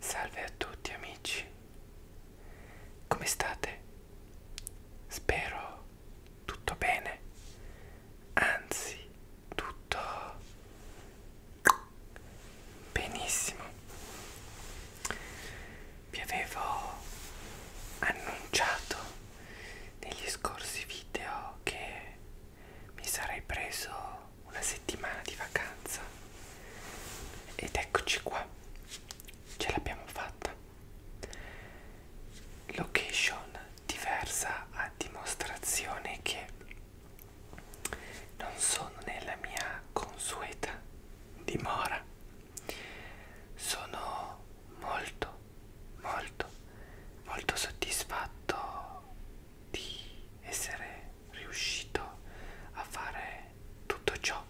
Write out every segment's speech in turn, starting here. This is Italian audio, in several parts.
Salve a tutti amici, come state? Spero tutto bene, anzi tutto Benissimo, vi avevo annunciato negli scorsi video che mi sarei preso una settimana di vacanza ed eccoci qua, ce l'abbiamo fatta. Location diversa a dimostrazione che non sono nella mia consueta dimora. Sono molto, molto, molto soddisfatto di essere riuscito a fare tutto ciò.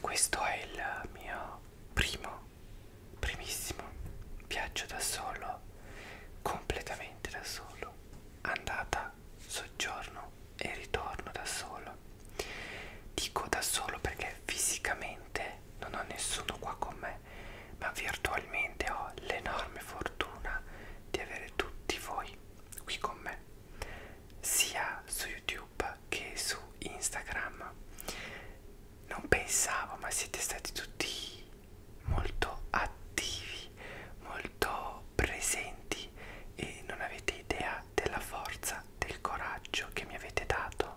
Questo è il mio primo, primissimo viaggio da solo completamente spostamenti da solo, andata, soggiorno e ritorno da solo. Dico da solo perché fisicamente non ho nessuno qua con me, ma virtualmente ho l'enorme fortuna di avere tutti voi qui con me, sia su YouTube che su Instagram. Non pensavo, ma siete stati tutti molto attivi, molto presenti e non avete idea della forza, del coraggio che mi avete dato,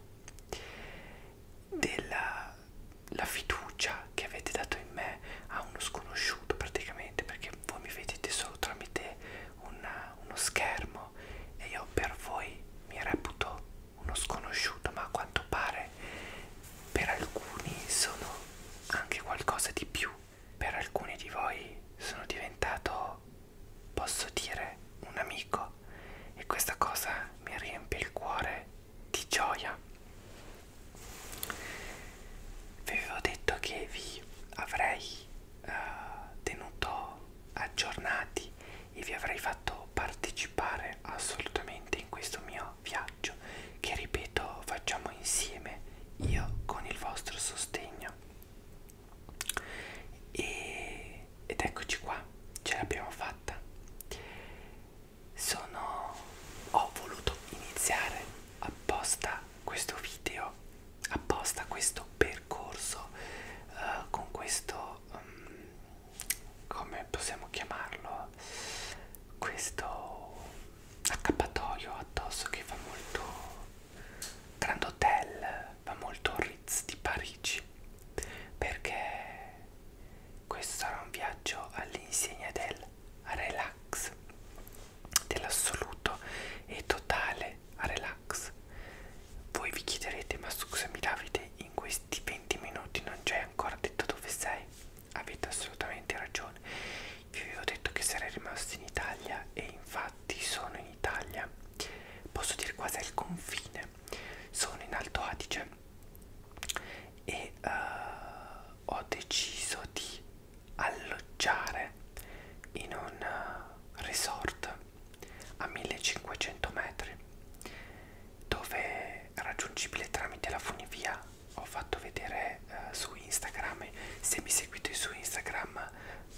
della la fiducia che avete dato in me a uno sconosciuto praticamente perché voi mi vedete solo tramite una, uno schermo e io per voi mi reputo uno sconosciuto ma a quanto pare per alcuni sono anche qualcosa di più per alcuni di voi sono diventato posso dire un amico e questa cosa mi riempie il cuore di gioia vi avevo detto che vi avrei eh, tenuto aggiornati e vi avrei fatto partecipare partecipare assolutamente in questo mio viaggio che ripeto facciamo insieme io con il vostro sostegno e, ed eccoci qua ce l'abbiamo fatta sono ho voluto iniziare apposta questo video apposta questo percorso uh, con questo um, come possiamo chiamarlo questo accappatoio addosso che fa molto Grand Hotel fa molto Ritz di Parigi perché questo sarà un viaggio all'insegna del relax dell'assoluto e totale relax voi vi chiederete ma scusami Davide in questi 20 minuti non ci hai ancora detto dove sei avete assolutamente ragione io vi ho detto che sarei rimasto in Italia e infatti sono in Italia posso dire quasi al confine sono in Alto Adige e uh, ho deciso di alloggiare in un eh, resort a 1500 metri dove raggiungibile tramite la funivia ho fatto vedere eh, su Instagram se mi seguite su Instagram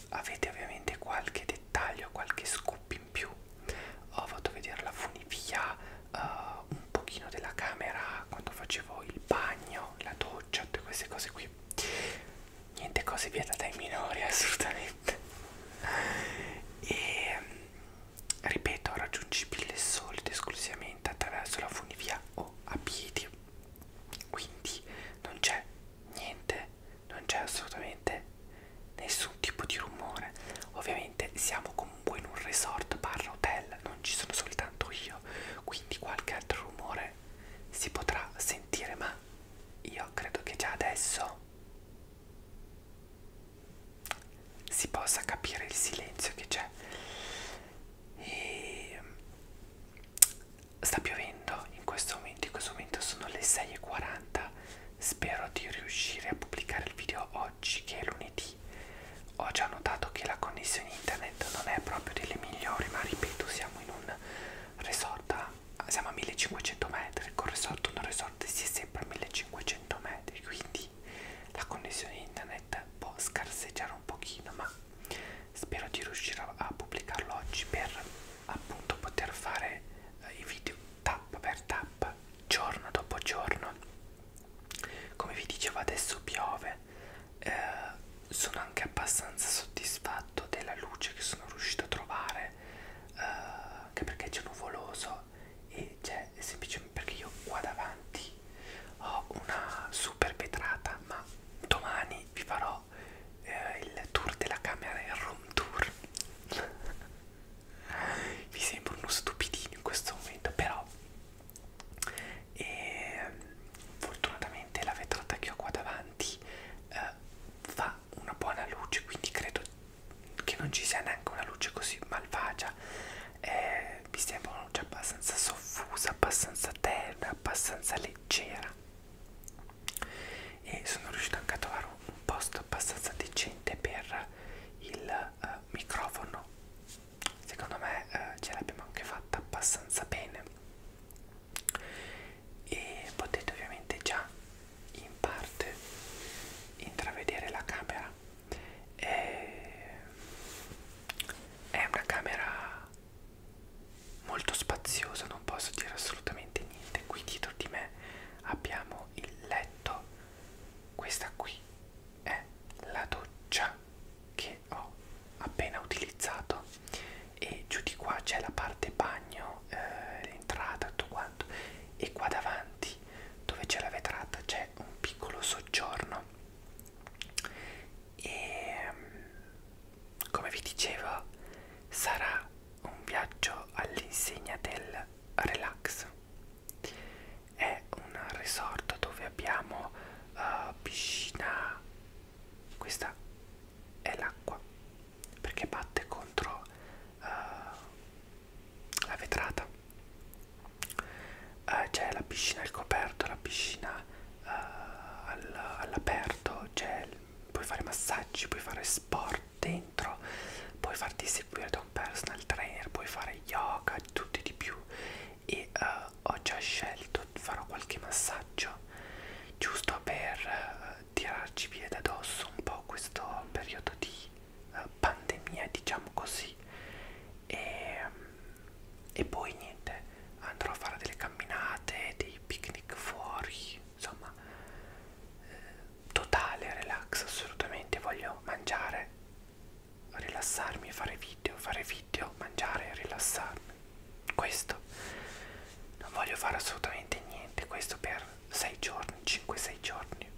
avete ovviamente qualche dettaglio qualche scoop in più ho fatto vedere la funivia eh, un pochino della camera quando facevo il bagno la doccia tutte queste cose qui niente cose vietate ai minori assolutamente e ripeto raggiungibile solo ed esclusivamente attraverso la funivia o a piedi quindi non c'è niente non c'è assolutamente nessun tipo di rumore ovviamente siamo comunque in un resort barra hotel non ci sono soltanto io quindi qualche altro rumore si potrà sentire ma io credo che già adesso si possa capire il silenzio che c'è e mm, sta piovendo in questo momento in questo momento sono le 6.40 spero di riuscire a pubblicare il video oggi che è lunedì ho già notato che la connessione internet non è proprio delle migliori ma ripeto siamo in un resort a siamo a 1500 metri, con resort o non resort si è sempre a 1500 metri, quindi la connessione internet può scarseggiare un pochino, ma spero di riuscire a pubblicarlo oggi per appunto poter fare eh, i video tappa per tappa, giorno dopo giorno. Come vi dicevo adesso piove, eh, sono anche abbastanza soddisfatto della luce che sono riuscito a trovare. Eh, anche perché c'è nuvoloso e c'è semplicemente perché io qua davanti ho una super vetrata ma domani vi farò eh, il tour della camera il room tour vi sembro uno stupidino in questo momento però e, ehm, fortunatamente la vetrata che ho qua davanti eh, fa una buona luce quindi credo che non ci sia neanche una luce così malvagia eh, mi sembra una luce abbastanza soffusa abbastanza tenue abbastanza leggera e sono riuscito anche a trovare un posto abbastanza decente per il uh, microfono secondo me uh, ce l'abbiamo anche fatta abbastanza bene e potete ovviamente già in parte intravedere la camera è una camera molto spaziosa non posso dire assolutamente niente qui dietro di me abbiamo il letto questa qui è la doccia che ho appena utilizzato e giù di qua c'è la parte bagno, eh, l'entrata, tutto quanto e qua davanti dove c'è la vetrata c'è un piccolo soggiorno e mm, come vi dicevo sarà un viaggio all'insegna del relax è un resort dove abbiamo uh, piscina questa è l'acqua perché batte contro uh, la vetrata uh, c'è la piscina al coperto la piscina uh, all'aperto puoi fare massaggi puoi fare sport dentro puoi farti seguire da un personal trainer puoi fare yoga tutti di più e uh, ho già scelto farò qualche massaggio giusto per tirarci via da dosso un po' questo periodo di eh, pandemia, diciamo così, e, e poi niente, andrò a fare delle camminate, dei picnic fuori, insomma, eh, totale relax assolutamente, voglio mangiare, rilassarmi, fare video, fare video, mangiare, rilassarmi questo non voglio fare assolutamente niente questo per 6 giorni 5-6 giorni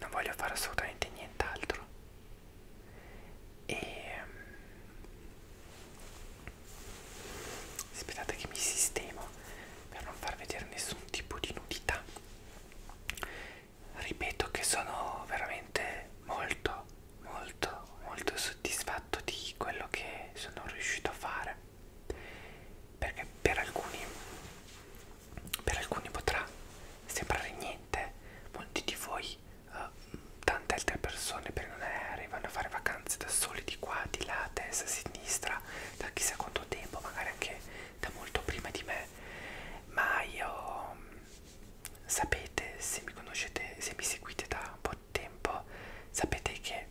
non voglio fare assolutamente nient'altro e ehm, aspettate che mi sistemo per non far vedere nessun tipo di nudità ripeto che sono veramente molto molto molto soddisfatto di quello che sono riuscito a fare perché per alcuni, per alcuni potrà sembrare niente, molti di voi, uh, tante altre persone prendono aerei, vanno a fare vacanze da soli di qua, di là, a destra, a sinistra, da chissà quanto tempo, magari anche da molto prima di me, ma io mm, sapete se mi conoscete, se mi seguite da un po' tempo sapete che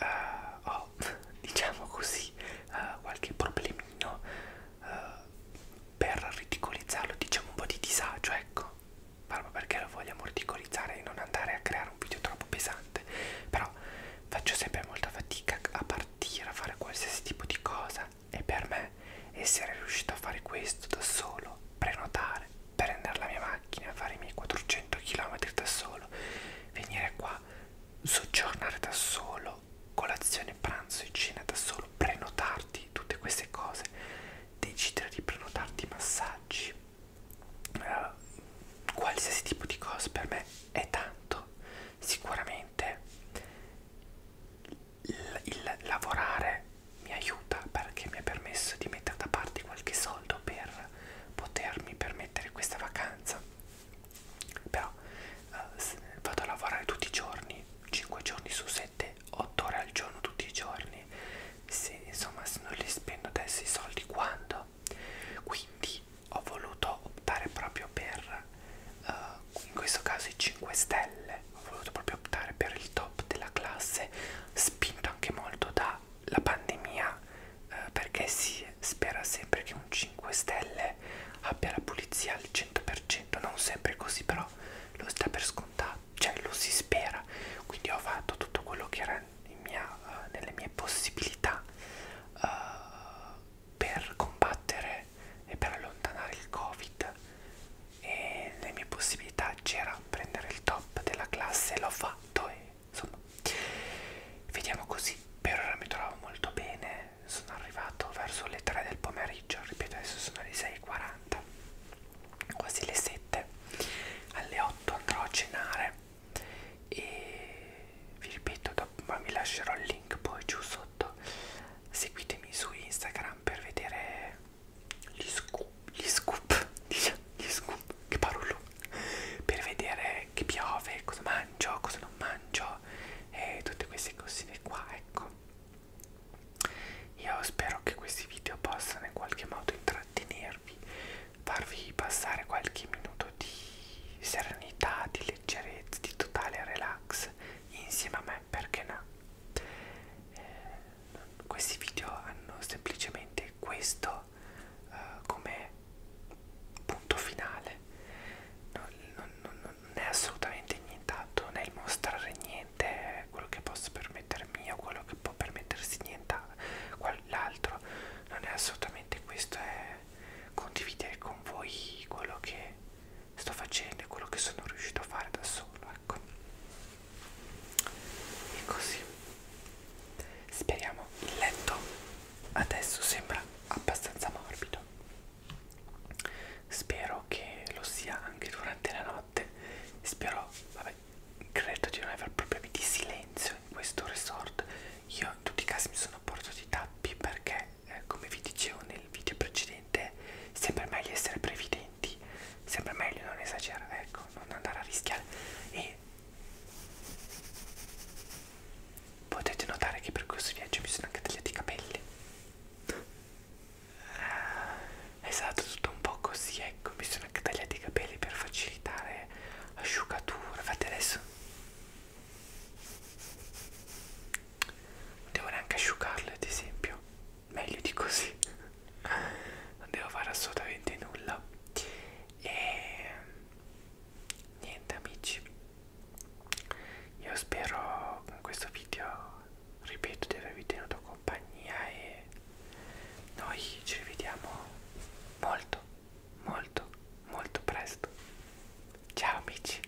uh, ho diciamo così uh, qualche problemino uh, per ridicolizzarlo diciamo un po' di disagio ecco proprio perché lo vogliamo ridicolizzare e non andare a creare un video troppo pesante però faccio sempre molta fatica a partire a fare qualsiasi tipo di cosa e per me essere riuscito a fare questo da solo prenotare prendere la mia macchina, fare i miei 400 km da solo, venire qua, soggiornare da solo, colazione, pranzo e cena da solo, prenotarti tutte queste cose, decidere di prenotarti massaggi, eh, qualsiasi tipo di cosa per me è tanto, sicuramente il, il lavorare mi aiuta perché mi ha permesso di mettere da parte qualche soldo per potermi permettere questa vacanza però eh, vado a lavorare tutti i giorni 5 giorni su 7 8 ore al giorno tutti i giorni se insomma se non li spendo adesso i soldi quando quindi ho voluto optare proprio per eh, in questo caso i 5 stelle ho voluto proprio optare per il top top della classe, spinto anche molto dalla pandemia eh, perché si spera sempre che un 5 stelle abbia la pulizia al 100%, non sempre così però lo sta per scontato, cioè lo si spera, quindi ho fatto tutto quello che era mia, uh, nelle mie possibilità uh, per combattere e per allontanare il covid e le mie possibilità c'era prendere il top della classe l'ho fatto e insomma vediamo così per ora mi trovo molto bene sono arrivato verso le 3 del pomeriggio ripeto adesso sono le 6.40 quasi le 7 alle 8 andrò a cenare e vi ripeto dopo, ma vi lascerò il link poi giù sotto seguitemi su Instagram per vedere gli scoop, gli scoop, gli scoop, che parolo, per vedere che piove, cosa mangio, cosa non mangio e tutte queste cosine qua, ecco. Io spero che questi video possano in qualche modo intrattenervi, farvi passare qualche minuto di serenità, di leggerezza, di totale relax insieme a me me, perché no? Eh, questi video hanno semplicemente questo eh, come punto finale, non, non, non, non è assolutamente nient'altro, non è il mostrare niente, quello che posso permettermi o quello che può permettersi l'altro, non è assolutamente questo, è condividere con voi quello che sto facendo e quello che sono riuscito a fare da solo, ecco e così speriamo il letto adesso sembra abbastanza morbido spero che lo sia anche durante la notte spero vabbè credo di non aver problemi di silenzio in questo resort io in tutti i casi mi sono portato i tappi perché eh, come vi dicevo nel video precedente niente, sempre meglio essere previdenti, sempre meglio non esagerare, ecco, non andare a rischiare. E potete notare che per questo viaggio mi sono anche tagliati i capelli. Eh, è stato tutto un po' così, ecco, mi sono anche tagliati i capelli per facilitare asciugatura. Fate adesso. Non devo neanche asciugarle, ad esempio meglio di così non devo fare assolutamente nulla e niente amici io spero con questo video ripeto di avervi tenuto compagnia e noi ci rivediamo molto molto molto presto ciao amici